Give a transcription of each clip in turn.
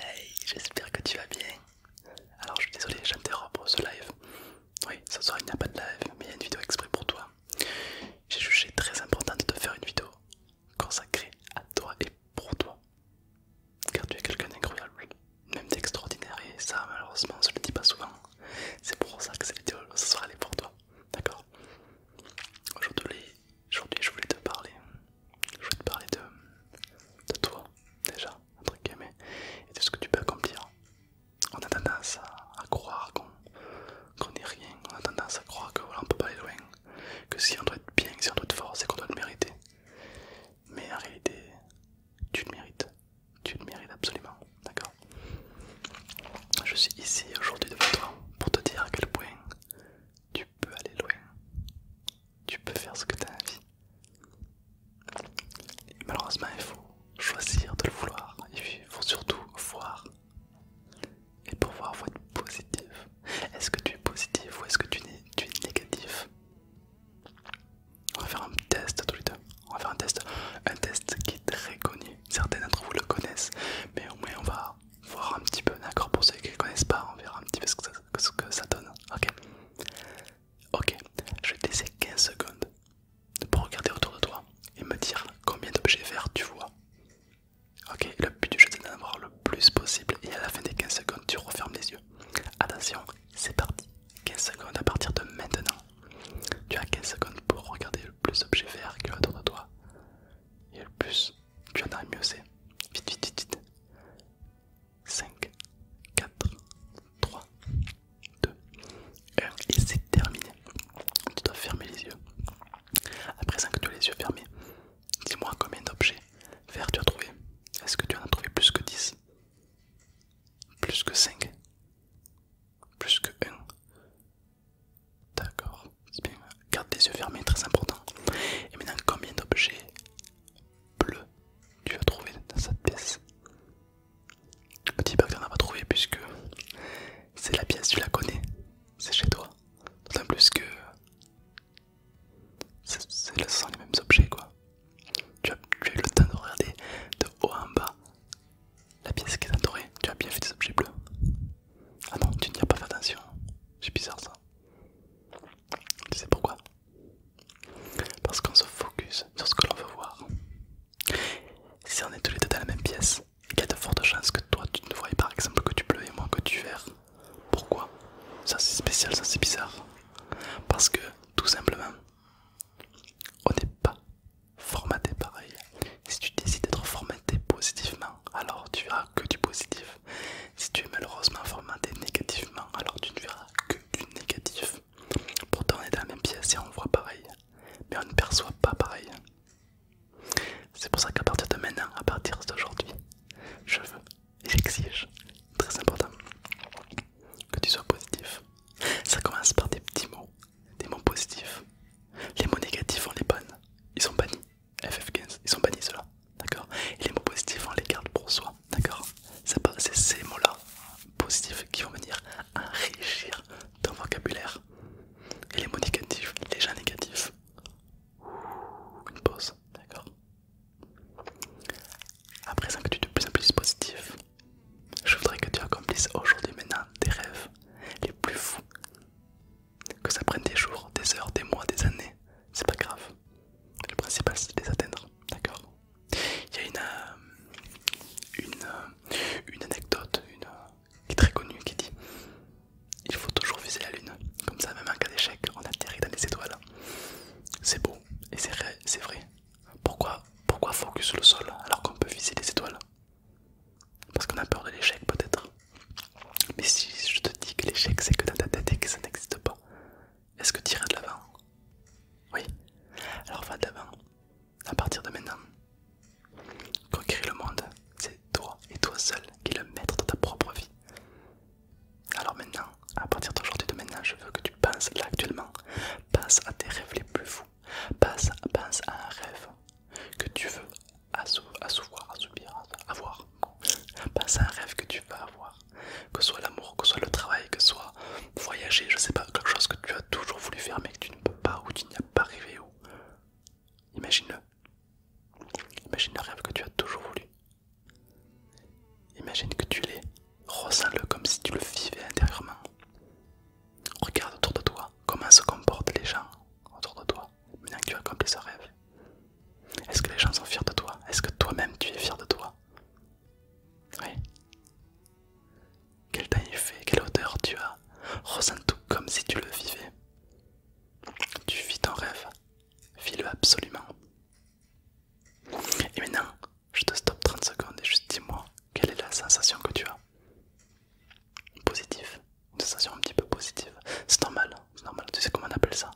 Hey, j'espère que tu vas bien. Alors, je suis désolé, j'interromps ce live. Oui, ce soir il n'y a pas de live, mais il y a une vidéo exprès pour toi. J'ai jugé très important de te faire une vidéo consacrée à toi et pour toi. Car tu es quelqu'un d'incroyable, même d'extraordinaire, et ça, malheureusement, on se le dit pas souvent. C'est pour ça que cette vidéo ce soir elle est pour toi. D'accord Aujourd'hui, Aujourd'hui, je voulais te parler. Je voulais te parler de, toi, déjà, un truc et de ce que tu peux accomplir. On a tendance à, croire qu'on n'est rien, on a tendance à croire qu'on ne peut pas aller loin, que si on doit être bien, si on doit être fort, c'est qu'on doit le mériter. Mais en réalité, tu le mérites. Tu le mérites absolument, d'accord Je suis ici aujourd'hui devant toi pour te dire à quel point tu peux aller loin tu peux faire ce que tu as envie. malheureusement, il faut choisir de le vouloir. Il faut surtout voir. Et pour voir, il faut être positif. Est-ce que tu es positif ou est-ce que tu es, négatif On va faire un test tous les deux. On va faire un test. Un test qui est très connu. Certains d'entre vous le connaissent, mais au moins on va voir un petit peu. D'accord Pour ceux qui ne connaissent pas, on verra un petit peu ce que ça, que ça donne. Ok. Ok. Je vais te laisser 15 secondes pour regarder autour de toi et me dire combien d'objets verts tu vois. Ok. Le but du jeu c'est d'en avoir le plus possible et à la fin des 15 secondes tu refermes les yeux. Attention, c'est parti. 15 secondes à partir de maintenant. Tu as 15 secondes pour regarder le plus d'objets verts qu'il y a autour de toi. Et le plus, tu attends mieux c'est. Vite, vite, vite, vite. 5, 4, 3, 2, 1. Et c'est terminé. Tu dois fermer les yeux. À présent que tu as les yeux fermés, dis-moi combien d'objets verts tu as trouvé. Est-ce que tu en as trouvé plus que 10 Plus que 5 Plus que 1 D'accord garde tes yeux fermés, très important. Et maintenant, combien d'objets bleus tu as trouvé dans cette pièce un dis pas que pas trouvé puisque c'est la pièce, tu la connais, c'est chez toi. D'autant plus que c'est ce sont les mêmes objets quoi. Tu as, eu le temps de regarder de haut en bas la pièce qui est entourée. tu as bien fait des objets bleus. Ah non, tu n'y as pas fait attention. C'est bizarre ça. Tu sais pourquoi Parce qu'on se focus sur ce que l'on veut voir. Si on est tous les deux dans la même pièce, il y a de fortes chances que toi tu ne voyais par exemple que tu bleu et moi que tu verres. Pourquoi Ça c'est spécial, ça c'est bizarre. Parce que tout simplement, on n'est pas formaté pareil. Si tu décides d'être formaté positivement, alors tu verras que du positif. Si tu es malheureusement formaté négativement, alors tu ne verras que du négatif. Pourtant, on est dans la même pièce et on voit pareil, mais on ne perçoit pas pareil. C'est pour ça qu'à partir de maintenant, à partir d'aujourd'hui, je veux et j'exige, très important, que tu sois positif. Ça commence par des petits mots, des mots positifs. Les mots négatifs, on les bonnes, ils sont bannis. FF15, ils sont bannis ceux-là, d'accord Et les mots positifs, on les garde pour soi, d'accord C'est ces mots-là, positifs, qui vont venir enrichir ton vocabulaire. Et les mots négatifs, les gens négatifs. Une pause, d'accord Après présent que tu es de plus en plus positif, je voudrais que tu accomplisses aujourd'hui maintenant tes rêves les plus fous, que ça prenne des jours, des heures, des mois, des années, c'est pas grave. Le principal c'est de les atteindre, d'accord Il y a une, euh, euh, anecdote une, euh, qui est très connue qui dit il faut toujours viser la lune, comme ça même en cas d'échec on atterrit dans les étoiles. C'est beau et c'est vrai. Pourquoi, pourquoi focus le sol alors qu'on peut viser les étoiles parce qu'on a peur de l'échec peut-être. Mais si je te dis que l'échec c'est que dans ta tête et que ça n'existe pas, est-ce que tu iras de l'avant Oui. Alors va de l'avant. À partir de maintenant, conquérir le monde, c'est toi et toi seul qui le maître de ta propre vie. Alors maintenant, à partir d'aujourd'hui de maintenant, je veux que tu penses là actuellement. Passe à tes rêves les plus fous. Passe, pense à un rêve que tu veux assouvoir, assoupir, avoir. à un rêve que tu vas avoir, que ce soit l'amour, que ce soit le travail, que ce soit voyager, je sais pas, quelque chose que tu as toujours voulu faire mais que tu ne peux pas ou tu n'y as pas rêvé ou. Imagine-le. Imagine le rêve que tu as toujours voulu. Imagine que tu l'es. Ressens-le comme si tu le vivais intérieurement. Regarde autour de toi comment se comportent les gens autour de toi. Maintenant que tu as accompli ce rêve, est-ce que les gens sont fiers de toi Est-ce que toi-même tu es fier de toi Oui. Quel taille il fait Quelle odeur tu as Ressens tout comme si tu le vivais. Tu vis ton rêve. Vis-le absolument. Et maintenant, je te stoppe 30 secondes et juste dis-moi quelle est la sensation que tu as positif, une sensation un petit peu positive. C'est normal, c'est normal. Tu sais comment on appelle ça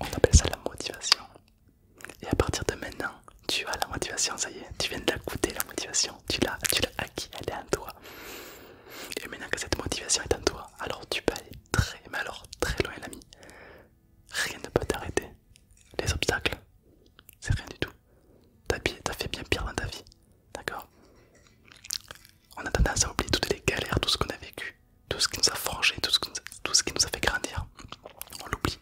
On appelle ça la motivation. Et à partir de maintenant, tu as la motivation, ça y est, tu viens de la goûter la motivation, tu l'as acquis, elle est en toi. Et maintenant que cette motivation est en toi, alors tu peux aller très, très loin l'ami. Rien ne peut t'arrêter. Les obstacles, c'est rien du tout. T'as fait bien pire dans ta vie. D'accord a tendance à oublier toutes les galères, tout ce qu'on a vécu, tout ce qui nous a forgé, tout ce qui nous a, fait grandir. On l'oublie.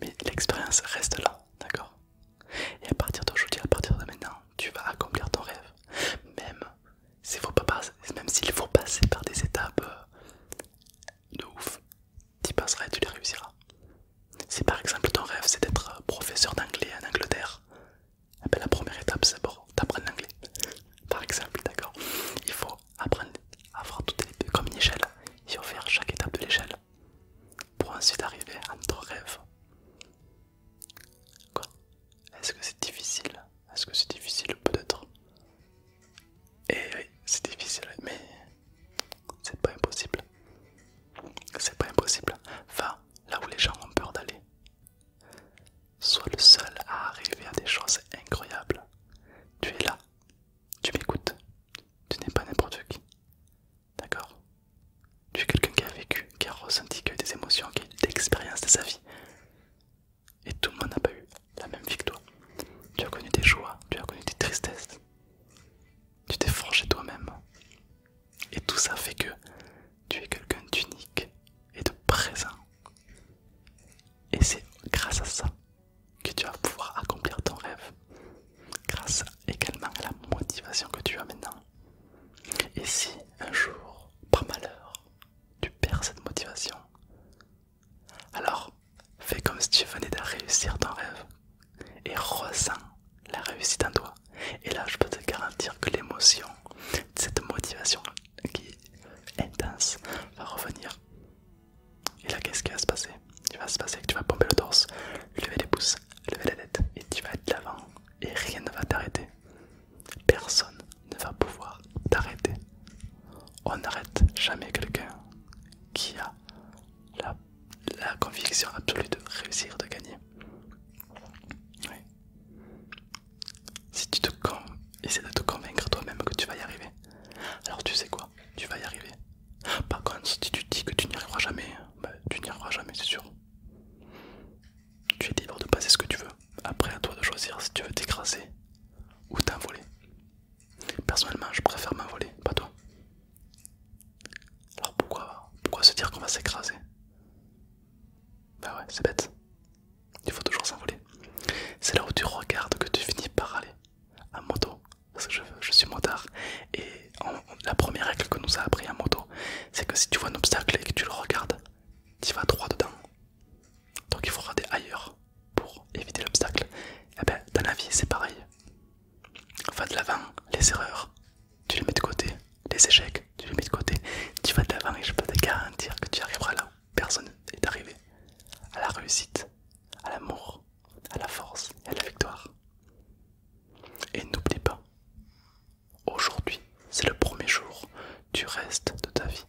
Mais l'expérience reste là, d'accord Et à partir d'aujourd'hui, à partir de maintenant, tu vas accomplir ton rêve. Même s'il faut, faut passer par des étapes euh, de ouf, tu y passeras et tu les réussiras. Si par exemple ton rêve c'est d'être professeur d'anglais en Angleterre, la première étape c'est d'apprendre l'anglais. Par exemple, d'accord Il faut apprendre à voir toutes les comme une échelle. Il faut faire chaque étape de l'échelle pour ensuite arriver à notre rêve. Quoi Est-ce que c'est difficile Est-ce que c'est difficile peut-être Eh oui, c'est difficile, mais c'est pas impossible. C'est pas impossible. Va là où les gens ont peur d'aller. Sois le seul à arriver à des choses incroyables. Tu es là. Tu m'écoutes. Tu n'es pas n'importe qui. D'accord Tu es quelqu'un qui a vécu, qui a ressenti, qui a eu des émotions, qui a eu expériences de sa vie. Et tout le monde n'a pas eu la même vie que toi. Tu as connu des joies, tu as connu des tristesses. Tu t'es franchi toi-même. Et tout ça fait que tu es quelqu'un d'unique et de présent. Et c'est grâce à ça que tu vas pouvoir accomplir ton rêve. Grâce également à la motivation que tu as maintenant. Et si un jour, par malheur, tu perds cette motivation, alors fais comme si tu venais de réussir ton rêve et ressens la réussite en toi. Et là, je peux te garantir que l'émotion, cette motivation qui est intense, va revenir. Et là, qu'est-ce qui va se passer Tu vas se passer que tu vas pomper le torse, lever les pouces, lever la tête, et tu vas être de l'avant, et rien ne va t'arrêter. Personne ne va pouvoir t'arrêter. On n'arrête jamais quelqu'un qui a la la conviction absolue de réussir, de gagner. Si tu te essaies de te convaincre toi-même que tu vas y arriver, alors tu sais quoi, tu vas y arriver. Par contre, si tu dis que tu n'y arriveras jamais, bah, tu n'y arriveras jamais, c'est sûr. Tu es libre de passer ce que tu veux. Après, à toi de choisir si tu veux t'écraser ou t'envoler. Personnellement, je préfère m'envoler, pas toi. Alors pourquoi, se dire qu'on va s'écraser Bah ouais, c'est bête. Il faut toujours s'envoler. C'est là où tu regardes que tu finis par aller à moto. Parce que je, suis motard. Et la première règle que nous a appris à moto, c'est que si tu vois un obstacle et que tu le regardes, tu vas droit dedans. Donc il faut regarder ailleurs pour éviter l'obstacle. Et eh ben dans la vie c'est pareil va de l'avant, les erreurs, tu les mets de côté, les échecs, tu les mets de côté, tu vas de l'avant et je peux te garantir que tu arriveras là où personne n'est arrivé, à la réussite, à l'amour, à la force et à la victoire. Et n'oublie pas, aujourd'hui, c'est le premier jour du reste de ta vie.